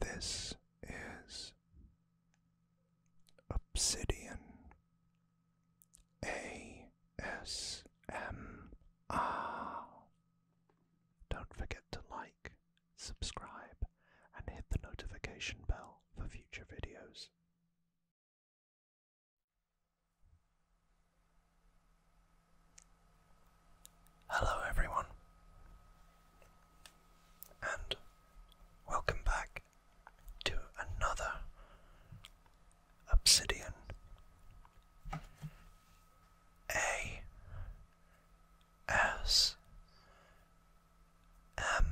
This is Obsidian A S M R. Don't forget to like, subscribe, and hit the notification bell for future videos. Hello, everyone, and welcome back to another Obsidian A S M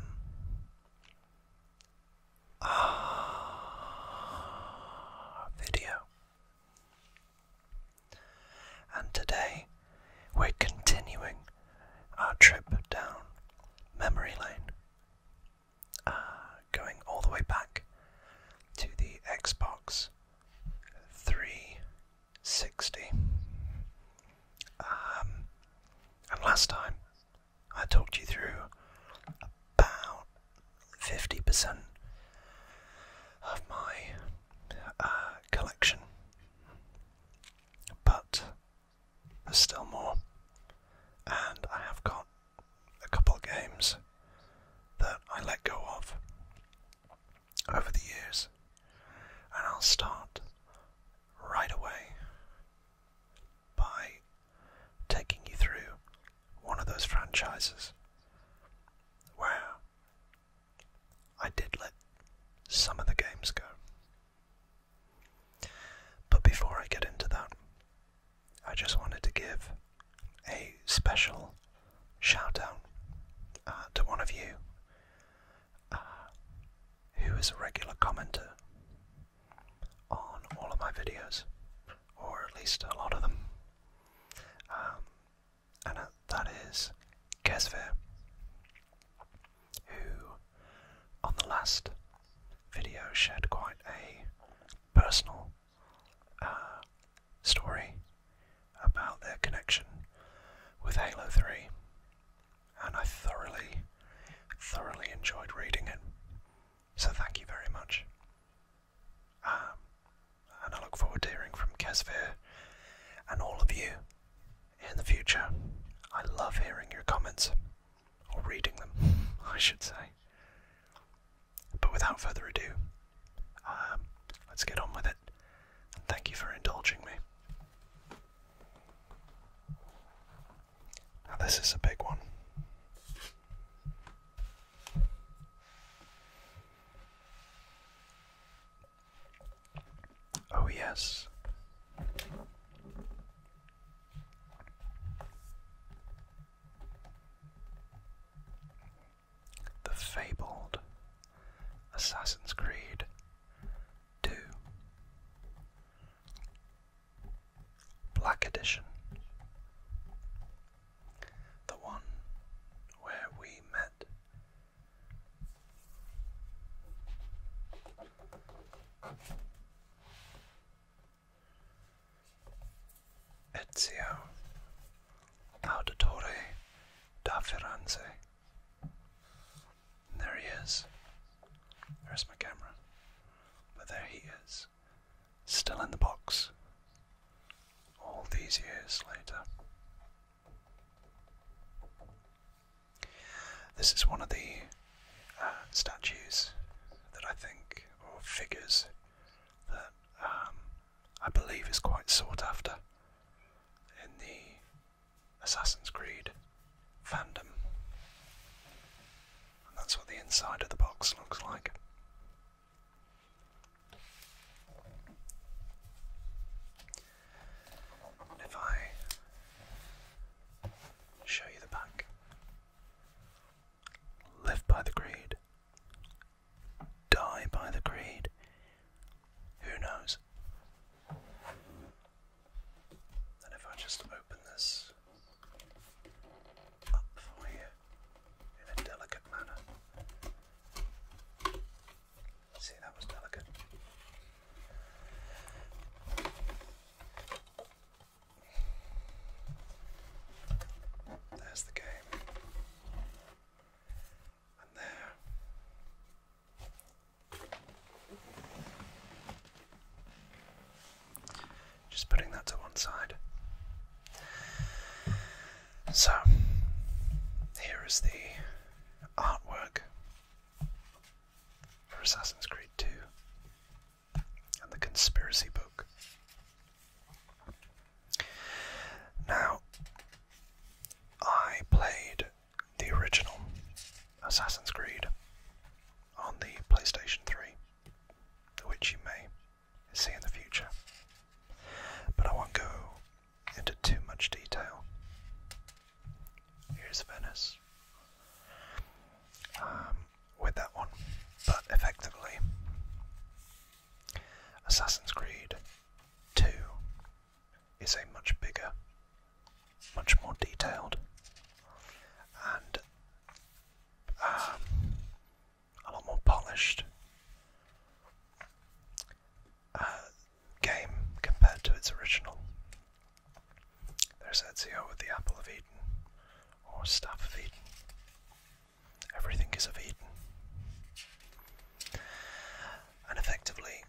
R ah, video. And today we're continuing our trip down memory lane, uh, going all the way back to the Xbox 360. Um, and last time I talked you through about 50% of my uh, collection, but there's still more, and I have got a couple of games that I let go of over the years, and I'll start right away by taking you through one of those franchises where I did let some of the games go. But before I get into that, I just wanted to give a special shout out uh, to one of you uh, who is a regular commenter on all of my videos, or at least a lot of them. Um, and that is Kesvir, who on the last video shared quite a personal uh, story about their connection with Halo 3, and I thoroughly, thoroughly enjoyed reading it. So thank you very much. Um, and I look forward to hearing from Kesvir and all of you in the future. I love hearing your comments, or reading them, I should say. But without further ado, um, let's get on with it. thank you for indulging me. Now, this is a big one. Oh, yes. The fabled Assassin's Creed 2 Black Edition the one where we met. Ezio Auditore da Firenze. there he is. There's my camera. But there he is still in the box all these years later. This is one of the uh, statues that I think, or figures, that um, I believe is quite sought after in the Assassin's Creed fandom. that's what the inside of the box looks like if I show you the back, live by the creed, die by the creed, who knows? And if I just open this up for you in a delicate manner. See, that was delicate. There's the game. And there. Just putting that to one side. So, here is the artwork for Assassin's Creed 2 and the conspiracy book. Now, I played the original Assassin's Creed on the PlayStation 3, which you may see in the future. But I won't go into too much detail. Here's Venice um, with that one, but effectively, Assassin's Creed 2 is a much bigger, much more detailed, and um, a lot more polished uh, game compared to its original. There's Ezio with the Apple of Eden, or Staff of Eden. Everything is of Eden. And effectively,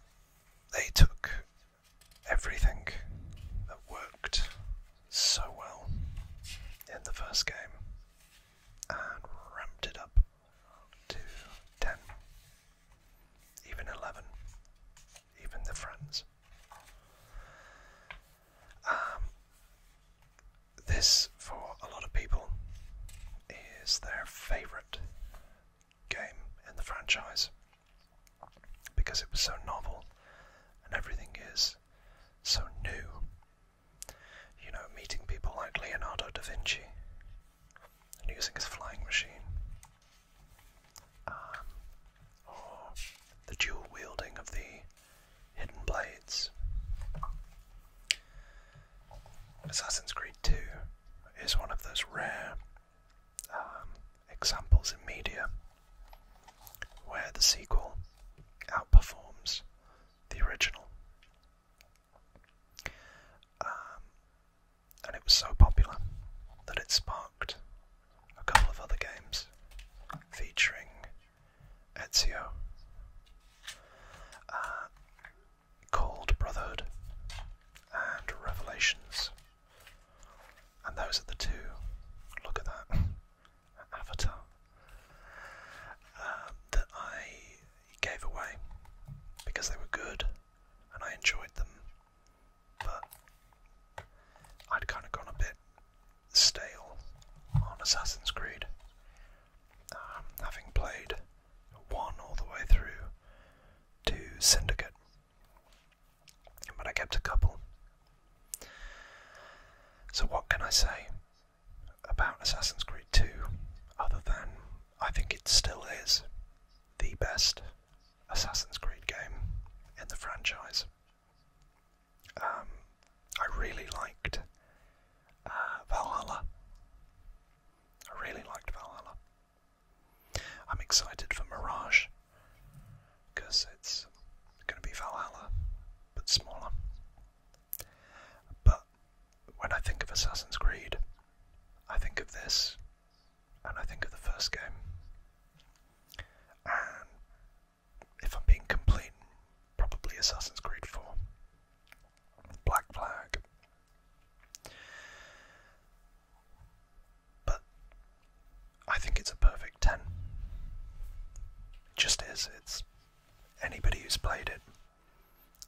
they took everything that worked so well in the first game and ramped it up to 10, even 11, even the friends. Um, this, for a lot of people, is their favourite game in the franchise because it was so novel and everything is so new you know, meeting people like Leonardo da Vinci and using his flying machine, um, or the dual wielding of the hidden blades. Assassin's Creed 2 is one of those rare um, examples in media where the sequel outperforms the original. Um, and it was so popular that it sparked a couple of other games featuring Ezio uh, called Brotherhood and Revelations. And those are the two. Look at that avatar uh, that I gave away because they were good and I enjoyed them, but I'd kind of gone a bit stale on Assassin's Creed, um, having played one all the way through to Syndicate, but I kept a couple. So, what can I say? about Assassin's Creed 2 other than I think it still is the best Assassin's Creed game in the franchise. Um, I really liked uh, Valhalla. I really liked Valhalla. I'm excited for Mirage because it's going to be Valhalla but smaller but when I think of Assassin's Creed, I think of this, and I think of the first game. And if I'm being complete, probably Assassin's Creed 4. Black Flag. But I think it's a perfect 10. It just is. It's anybody who's played it.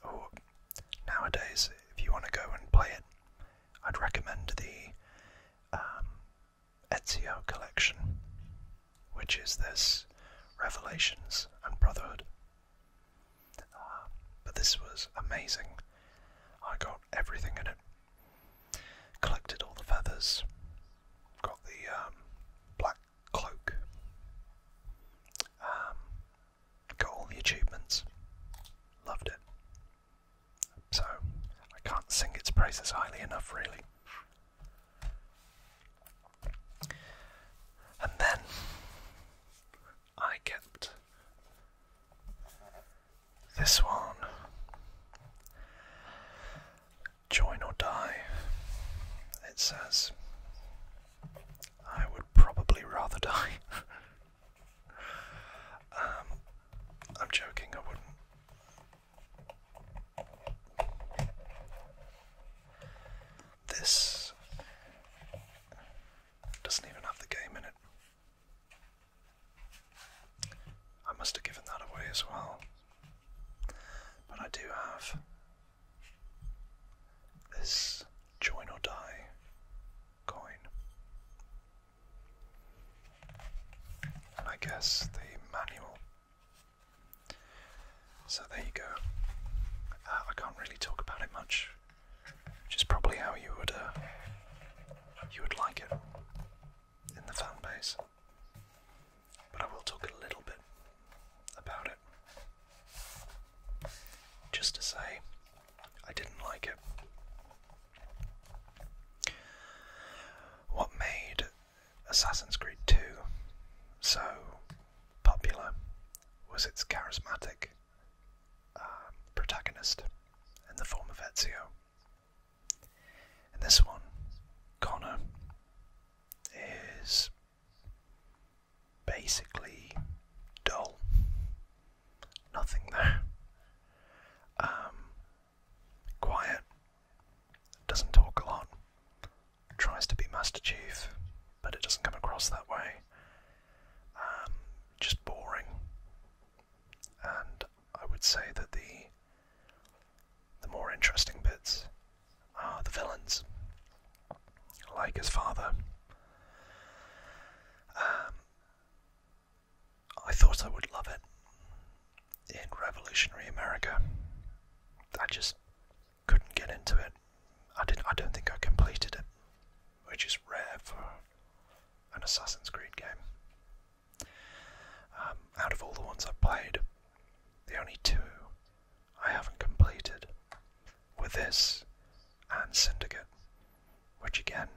Or nowadays, if you want to go and play it, I'd recommend the um, Ezio collection, which is this Revelations and Brotherhood. Uh, but this was amazing. I got everything in it. Collected all the feathers, got the um, black cloak. Um, got all the achievements. Loved it. So, I can't sing its praises highly enough, really. And then I get this one. Join or die, it says. I would probably rather die. Um, I'm joking, I wouldn't. This doesn't even have the game in it. I must have given that away as well. But I do have this join or die coin. And I guess the manual. So there you go. Uh, I can't really talk about it much, which is probably how you would uh, you would like it in the fan base. But I will talk a little bit about it. Just to say, I didn't like it. What made Assassin's Creed 2 so popular was its charismatic uh, protagonist in the form of Ezio. And this one, Connor, is basically dull. Nothing there. Um, quiet. Doesn't talk a lot. Tries to be Master Chief, but it doesn't come across that way. Um, just boring. And I would say that the the more interesting bits are the villains, like his father. Um, I thought I would love it in revolutionary America. I just couldn't get into it. I did. I don't think I completed it, which is rare for an Assassin's Creed game. Um, out of all the ones I've played, the only two I haven't completed were this and Syndicate, which again,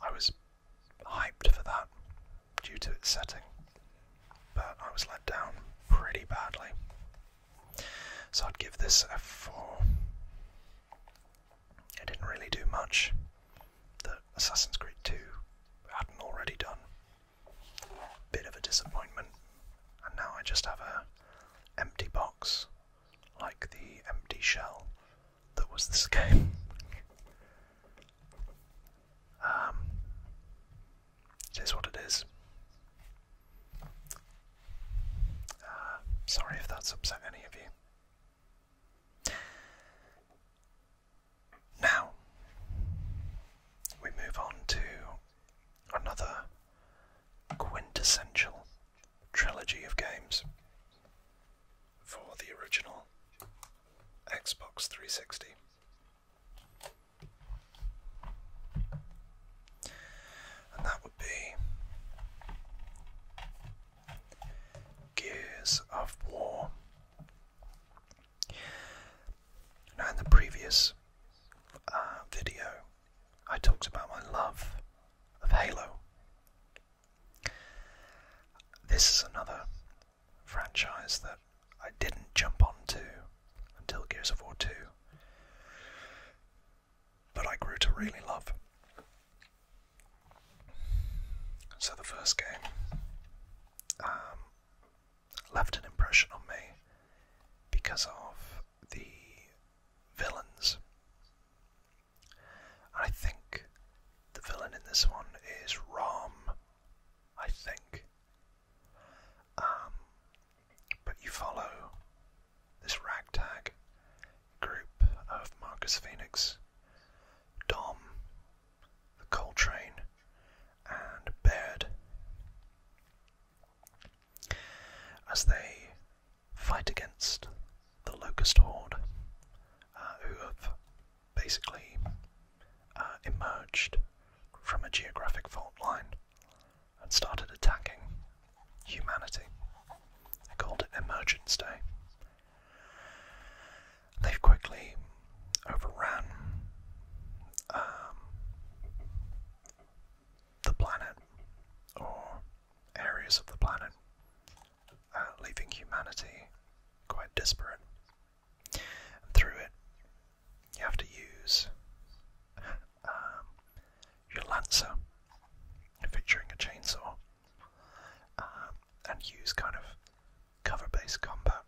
I was hyped for that due to its setting, but I was let down pretty badly. So I'd give this a 4. It didn't really do much that Assassin's Creed 2 hadn't already done, Bit of a disappointment, and now I just have a empty box, like the empty shell that was this game. um, it is what it is. Uh, sorry if that's upset any of you. Now, we move on to another quintessential trilogy of games for the original Xbox 360. And that would be Gears of War now, in the previous uh, video, I talked about my love of Halo. This is another franchise that I didn't jump on to until Gears of War 2, but I grew to really love. So, the first game um, left an impression on me because of the villains. I think the villain in this one is Rom. I think. Um, but you follow this ragtag group of Marcus Phoenix, Dom, the Coltrane, and Baird. As they fight against the Locust Horde, uh, who have basically uh, emerged from a geographic fault line and started attacking humanity. They called it Emergence Day they've quickly overrun um, the planet or areas of the planet, uh, leaving humanity quite disparate. through it, you have to use um, your lancer, featuring a chainsaw, um, and use kind of cover based combat,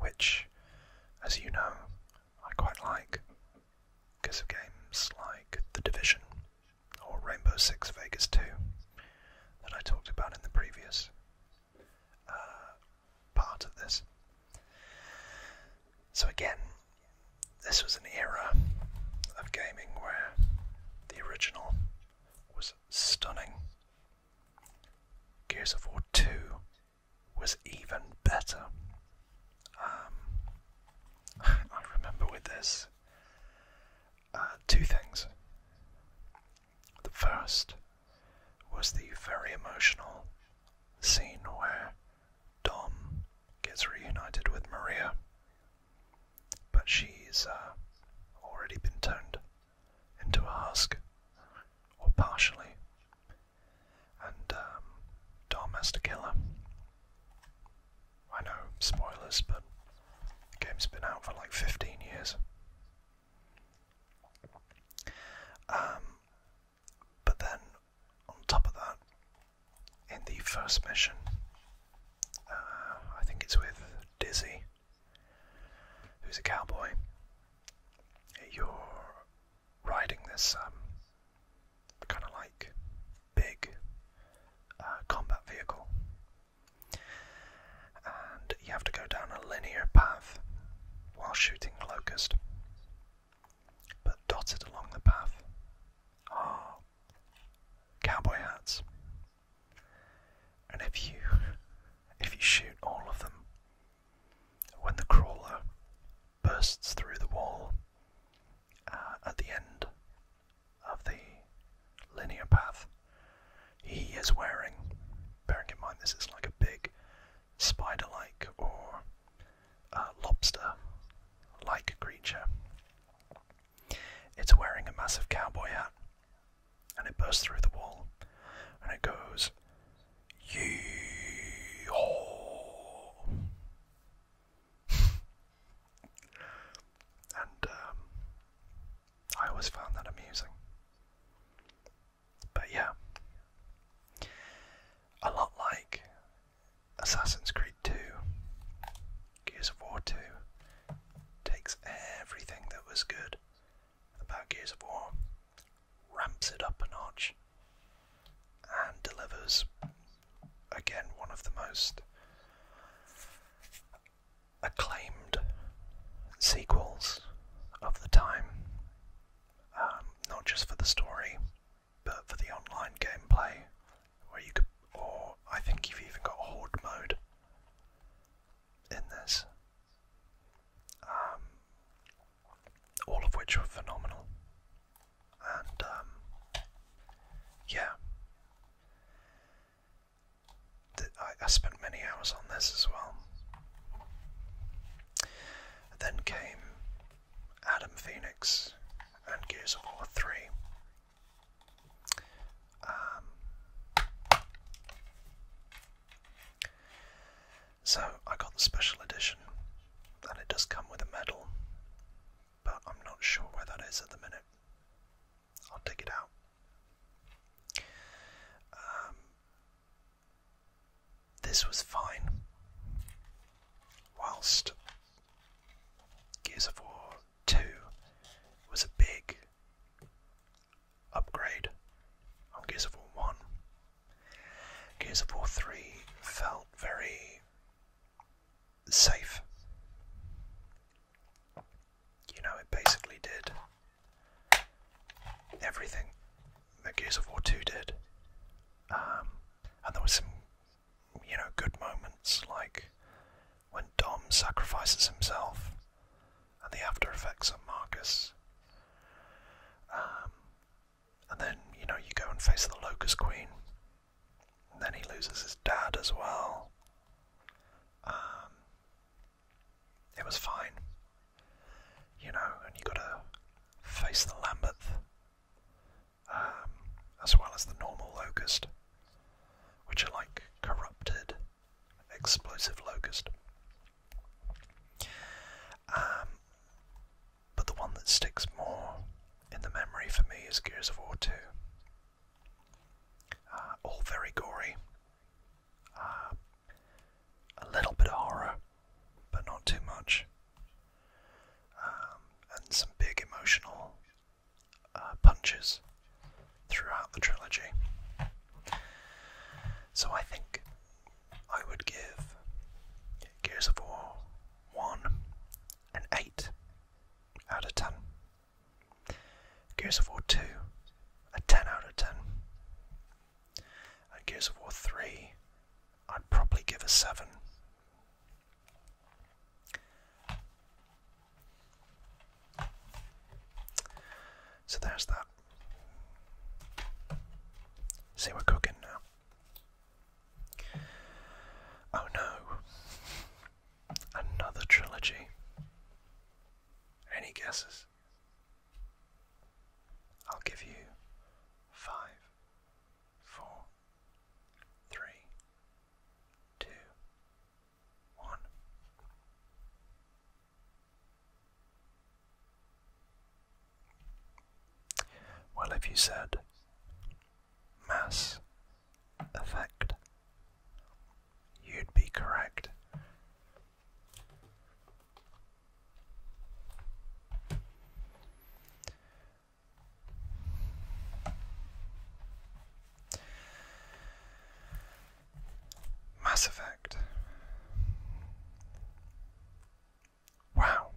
which, as you know, I quite like because of games like The Division or Rainbow Six Vegas 2 that I talked about in the previous uh, part of this. So, again, this was an era of gaming where the original was stunning Gears of War 2 was even better. Um, I remember with this uh, two things. The first was the very emotional scene where Dom gets reunited with Maria, but she's uh, already been turned into a husk, or partially, and um, Dom has to kill her. I know, spoilers, but the game's been out for like 15 years. Um, but then, on top of that, in the first mission, uh, I think it's with Dizzy, who's a cowboy. You're riding this um, kind of like big uh, combat vehicle, and you have to go down a linear path while shooting locust. But dotted along the path are cowboy hats and if you if you shoot all of them, when the crawler bursts through the wall uh, at the end of the linear path, he is wearing, bearing in mind this is like a big spider like or uh, lobster like creature, it's wearing a massive cowboy hat, and it bursts through the wall, and it goes, yee and um, I always found that amusing. But yeah, a lot like Assassin's Creed 2, Gears of War 2 takes everything that was good about Gears of War, ramps it up a notch, and delivers again one of the most acclaimed sequels of the time, um, not just for the story, but for the online gameplay, where you could, or I think you've even got horde mode, in this. Um, all of which were phenomenal. And um, yeah. I, I spent many hours on this as well. Then came Adam Phoenix and Gears of War 3, um, so I got the special edition, and it does come with a medal, but I'm not sure where that is at the minute. I'll dig it out. Um, this was fine. Whilst Gears of War 2 was a big upgrade on Gears of War 1. Gears of War 3 felt very safe. You know, it basically did everything that Gears of War 2 did. Um, and there were some, you know, good moments like when Dom sacrifices himself and the after effects on Marcus. Um, and then, you know, you go and face the Locust Queen. then he loses his dad as well. Um, it was fine. You know, and you gotta face the Lambeth. Um, as well as the normal locust, which are like corrupted explosive locust. Um, but the one that sticks more in the memory for me is Gears of War 2. Uh, all very gory. Uh, a little bit of horror, but not too much. Um, and some big emotional uh, punches throughout the trilogy. So I think I would give Gears of War 1 an 8 out of 10. Gears of War 2 a 10 out of 10. And Gears of War 3 I'd probably give a 7. So there's that. See, we're cooking now. Oh no. Another trilogy. Any guesses? I'll give you five, four, three, two, well, if you said mass effect, you'd be correct. Mass Effect. Wow.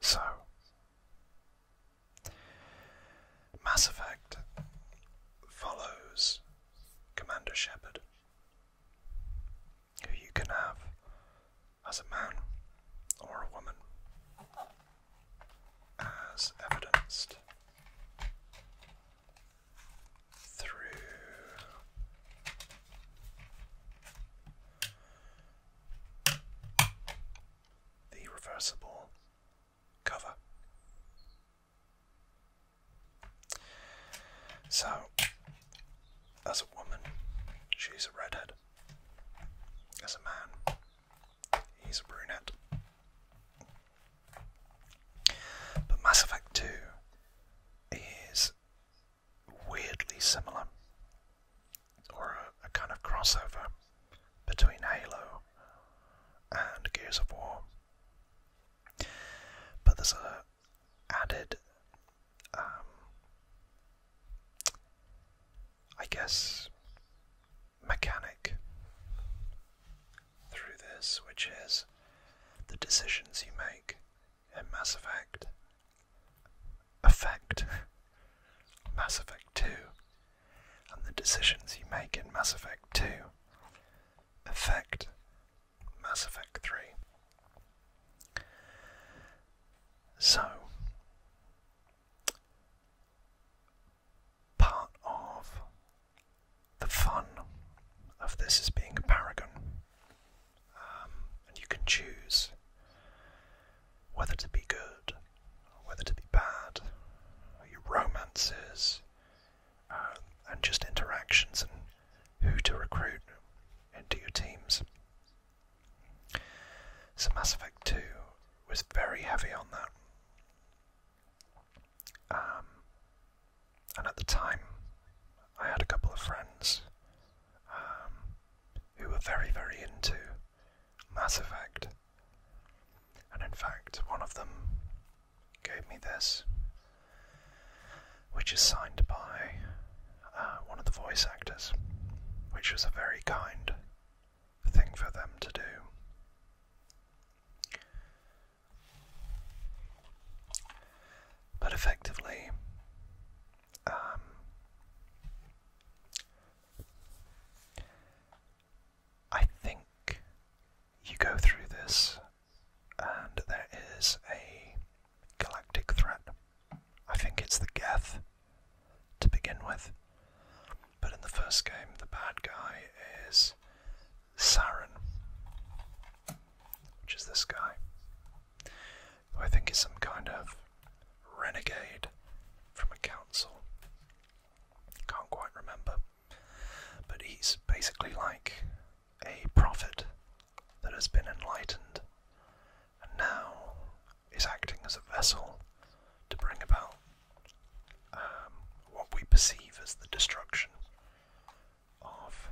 So, Mass Effect follows Commander Shepard, who you can have as a man or a woman as evidenced through the reversible cover. So, as a woman, she's a redhead. As a man, He's a brunette. But Mass Effect 2 is weirdly similar, or a, kind of crossover between Halo and Gears of War. But there's a added, um, I guess, mechanic through this, which is the decisions you make in Mass Effect. Effect. Mass Effect 2. And the decisions you make in Mass Effect 2 affect Mass Effect 3. So, part of the fun of this is being a paragon. Um, and you can choose whether to be good or whether to be bad, your romances, um, and just interactions and who to recruit into your teams. So Mass Effect 2 was very heavy on that. Um, and at the time, I had a couple of friends um, who were very, very into Mass Effect. And in fact, one of them gave me this, which is signed by uh, one of the voice actors, which was a very kind thing for them to do. But effectively, um, I think you go through this, and there is a galactic threat. I think it's the Geth to begin with. But in the first game, the bad guy is Saren, which is this guy, who I think is some kind of renegade from a council. Can't quite remember. But he's basically like a prophet that has been enlightened and now is acting as a vessel to bring about um, what we perceive as the destruction of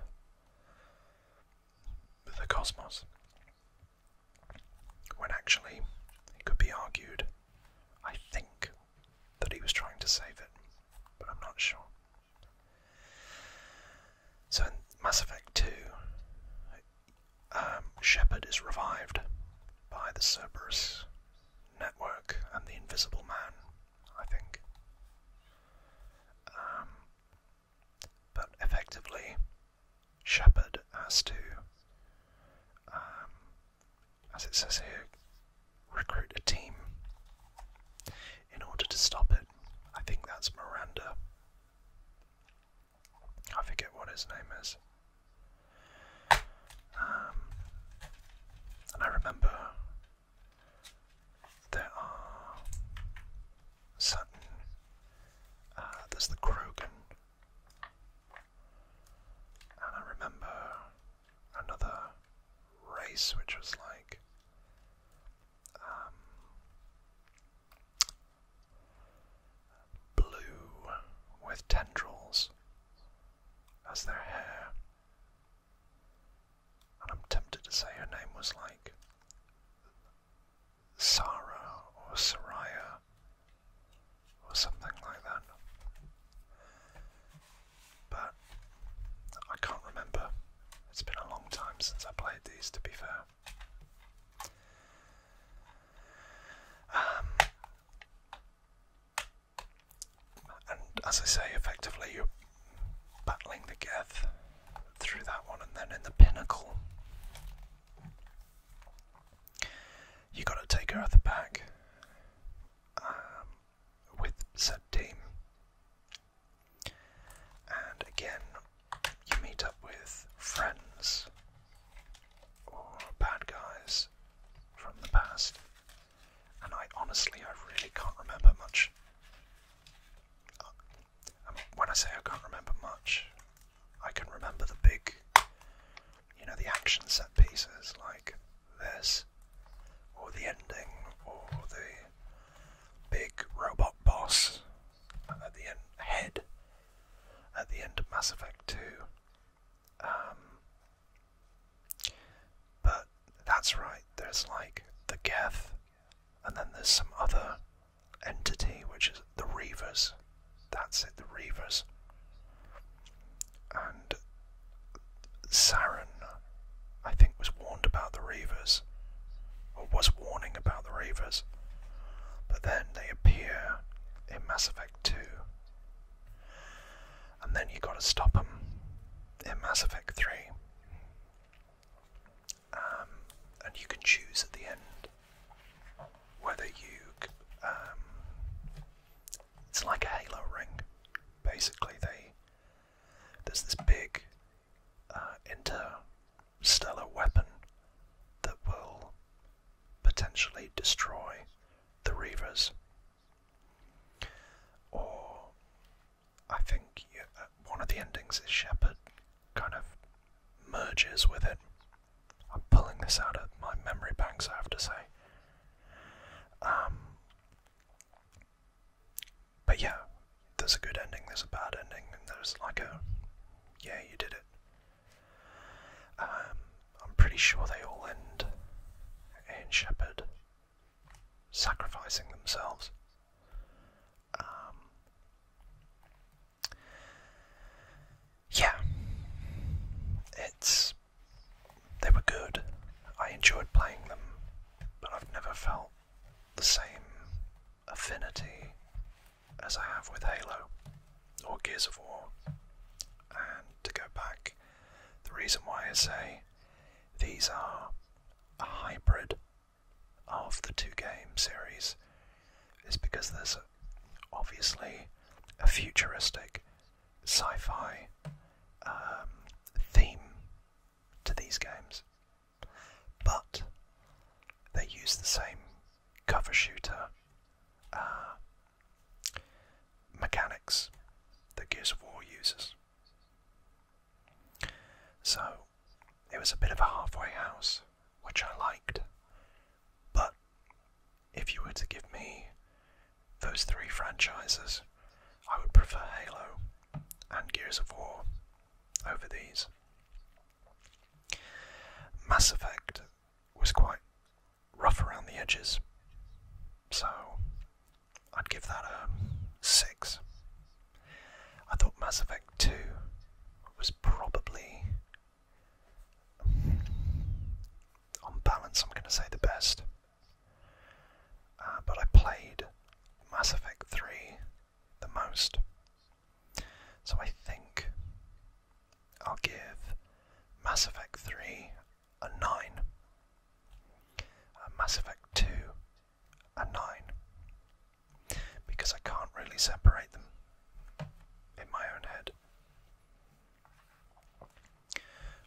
the cosmos. When actually, it could be argued, I think, that he was trying to save it, but I'm not sure. So in Mass Effect 2, um, Shepard is revived by the Cerberus network and the Invisible Man, I think. Um, but effectively, Shepard has to, um, as it says here, recruit a team in order to stop it. I think that's Miranda. I forget what his name is. Um, and I remember there are certain. Uh, there's the Krogan. And I remember another race which was like. Um, blue with tendrils as their hair. And I'm tempted to say her name was like Sarah or Saraya or something like that. But I can't remember. It's been a long time since I played these, to be fair. Um, and as I say, effectively you're battling the Geth through that one, and then in the pinnacle, you got to take her at the back um, with said team. And again, you meet up with friends or oh, bad guys from the past, and I honestly, I really can't remember much. Um, when I say I can't remember much, I can remember the big, you know, the action set pieces like this, or the ending, or the big robot boss at the end, head at the end of Mass Effect 2. Um, but that's right, there's like the Geth, and then there's some other entity which is the Reavers. That's it, the Reavers. And Saren, I think, was warned about the Reavers, or was warning about the Reavers, but then they appear in massive. 2. And then you have got to stop them in Mass Effect 3. Um, and you can choose at the end whether you. Um, it's like a halo ring. Basically, they there's this big uh, interstellar weapon that will potentially destroy the Reavers. Or I think uh, one of the endings is Shepherd kind of merges with it. I'm pulling this out of my memory banks, I have to say. Um, but yeah, there's a good ending, there's a bad ending, and there's like a, yeah, you did it. Um, I'm pretty sure they all end in shepherd, sacrificing themselves. Um, yeah, it's they were good. I enjoyed playing them, but I've never felt the same affinity as I have with Halo or Gears of War. And to go back, the reason why I say these are a hybrid of the two game series is because there's obviously a futuristic sci fi um, theme to these games, but they use the same cover shooter, uh, mechanics that Gears of War uses. So it was a bit of a halfway house, which I liked. But if you were to give me those three franchises, I would prefer Halo and Gears of War over these. Mass Effect was quite rough around the edges. So I'd give that a 6. I thought Mass Effect 2 was probably, on balance, I'm going to say the best. Uh, but I played Mass Effect 3 the most. So I think I'll give Mass Effect 3 a 9, and uh, Mass Effect 2 a 9, because I can't really separate them in my own head.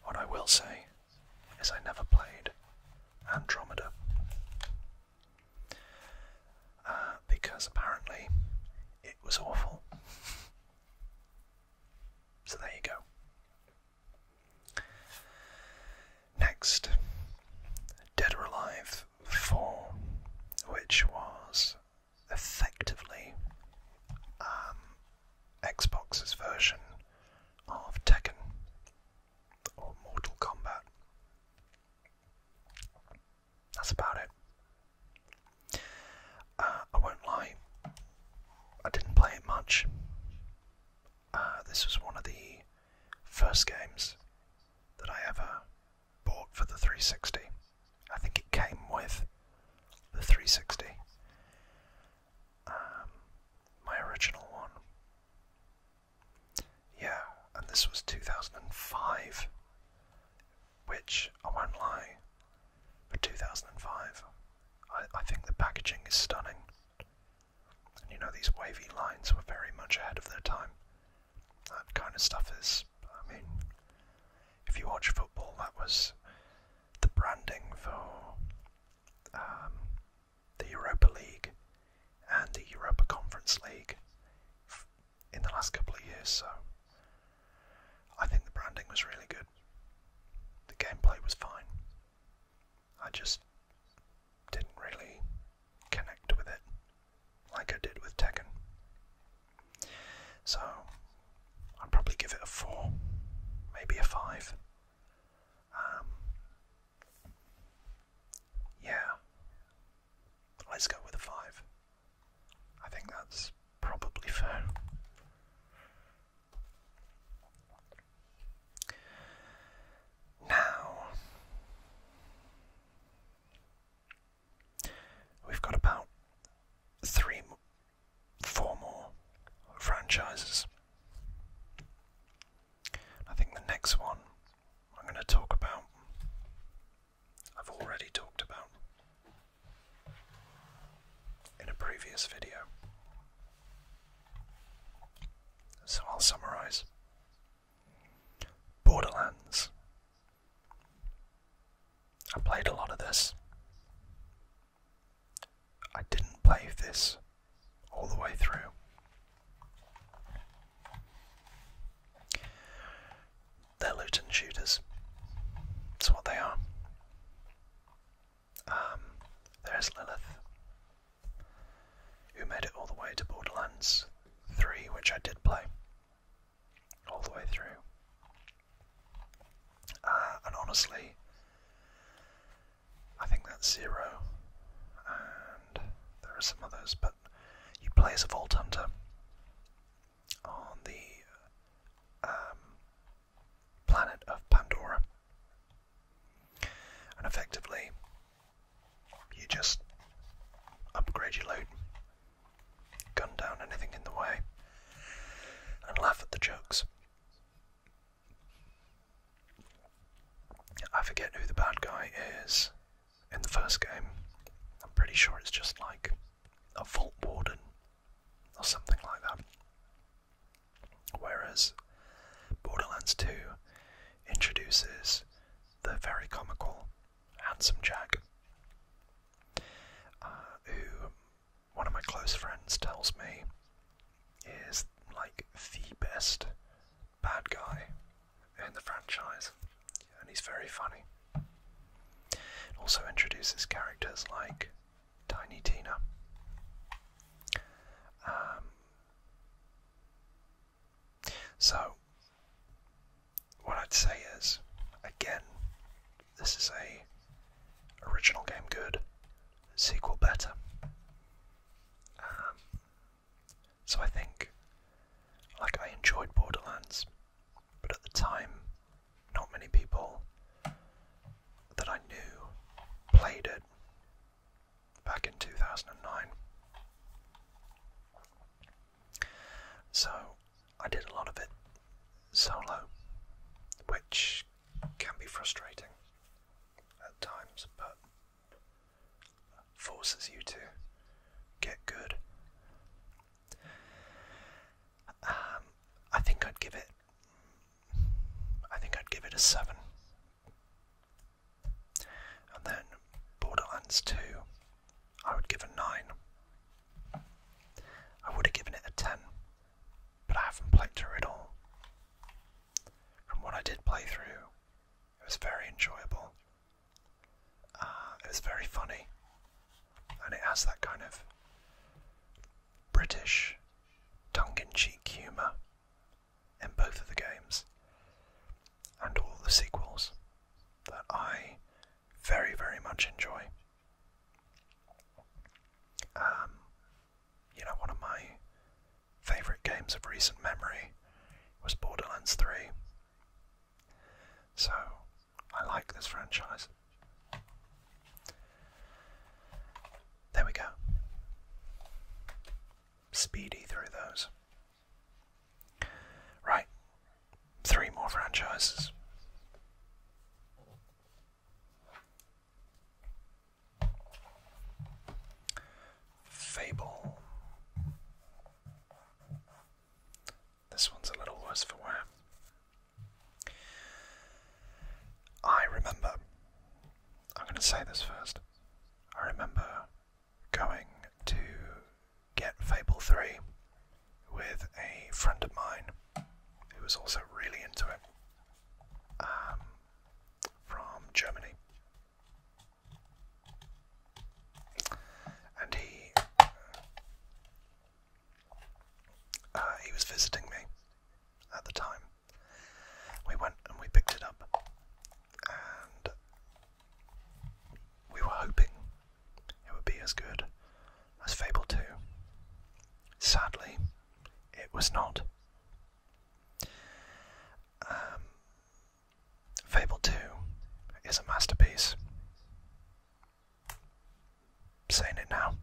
What I will say is I never played Andromeda. Uh, because apparently it was awful. So there you go. Next, Dead or Alive 4, which was effectively um, Xbox's version of Tekken or Mortal Kombat that's about it. Uh, I won't lie, I didn't play it much. Uh, this was one of the first games that I ever bought for the 360. I think it came with the 360. Um, my original one. Yeah, and this was 2005 which, I won't lie, for 2005, I, think the packaging is stunning. And you know, these wavy lines were very much ahead of their time. That kind of stuff is, I mean, if you watch football, that was the branding for um, the Europa League and the Europa Conference League in the last couple of years, so I think the branding was really good. The gameplay was fine. I just didn't really connect with it like I did with Tekken. So I'd probably give it a 4, maybe a 5. Um, yeah, Let's go with a 5. I think that's probably fair. Now, we've got about three, four more franchises. I think the next one I'm going to talk about I've already talked about in a previous video. So I'll summarize. Borderlands. I played a lot of this. I didn't play this all the way through. They're loot shooters. That's what they are. Um, there's Lilith, who made it all the way to Borderlands 3, which I did play. All the way through. Uh, and honestly, I think that's zero. And there are some others, but you play as a Vault Hunter on the um, planet of Pandora. And effectively, you just upgrade your loot, gun down anything in the way, and laugh at the jokes. I forget who the bad guy is in the first game. I'm pretty sure it's just like a Vault Warden or something like that. Whereas Borderlands 2 introduces the very comical Handsome Jack, uh, who one of my close friends tells me is like the best bad guy in the franchise, and he's very funny. also introduces characters like Tiny Tina, um, so, what I'd say is, again, this is a original game good, sequel better. Um, so I think, like I enjoyed Borderlands, but at the time, not many people that I knew played it back in 2009. So I did a lot of it solo, which can be frustrating at times, but forces you to get good um, I think I'd give it. I think I'd give it a seven. And then Borderlands 2, I would give a 9. I would have given it a 10, but I haven't played through it all. From what I did play through, it was very enjoyable. Ah, it's very funny, and it has that kind of British tongue-in-cheek humour in both of the games and all the sequels that I very, very much enjoy. Um, you know, one of my favourite games of recent memory was Borderlands 3. So I like this franchise. There we go. Speedy through those. Right, three more franchises. Fable. This one's a little worse for wear. I remember, I'm going to say this first. I remember going to get Fable 3 with a friend of mine who was also really into it um, from Germany and he uh, uh, he was visiting me at the time. We went and we picked it up, and we were hoping it would be as good as Fable Two. Sadly, it was not. Um, Fable II is a masterpiece. saying it now.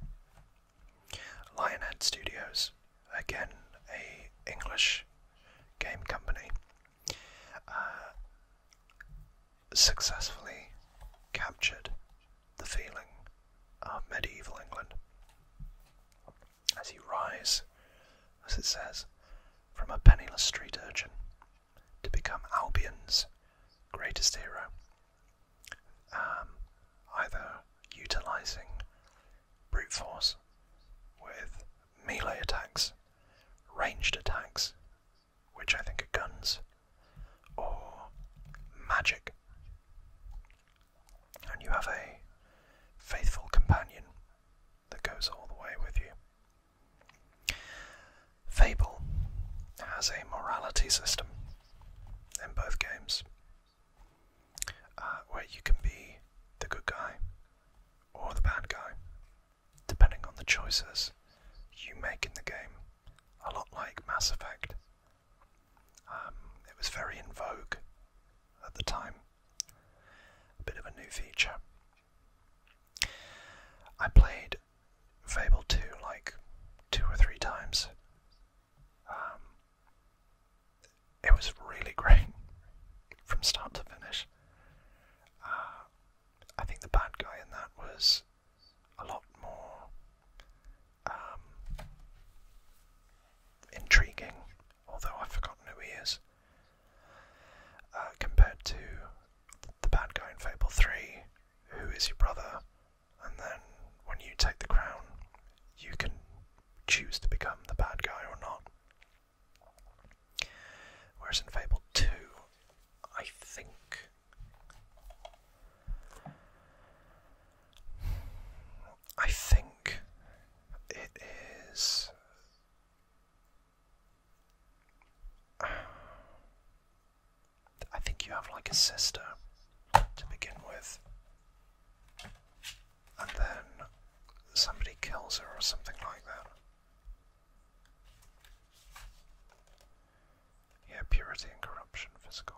Lionhead Studios, again a English game company, uh, successfully captured the feeling of medieval England as he rises, as it says, from a penniless street urchin to become Albion's greatest hero, um, either utilizing brute force with melee attacks, ranged attacks, which I think are guns, or magic. And you have a faithful companion that goes all the way with you. Fable has a morality system in both games uh, where you can be the good guy or the bad guy, depending on the choices you make in the game, a lot like Mass Effect. Um, it was very in vogue at the time, a bit of a new feature. I played Fable 2 like two or three times. Um, it was really great from start to finish. Uh, I think the bad guy in that was a lot more um, intriguing, although I've forgotten who he is. Uh, compared to the bad guy in Fable 3, who is your brother, and then when you take the crown, you can choose to become the bad guy or not. Whereas in Fable 2, I think. I think it is I think you have like a sister to begin with. And then somebody kills her or something like that. Yeah, purity and corruption, physical.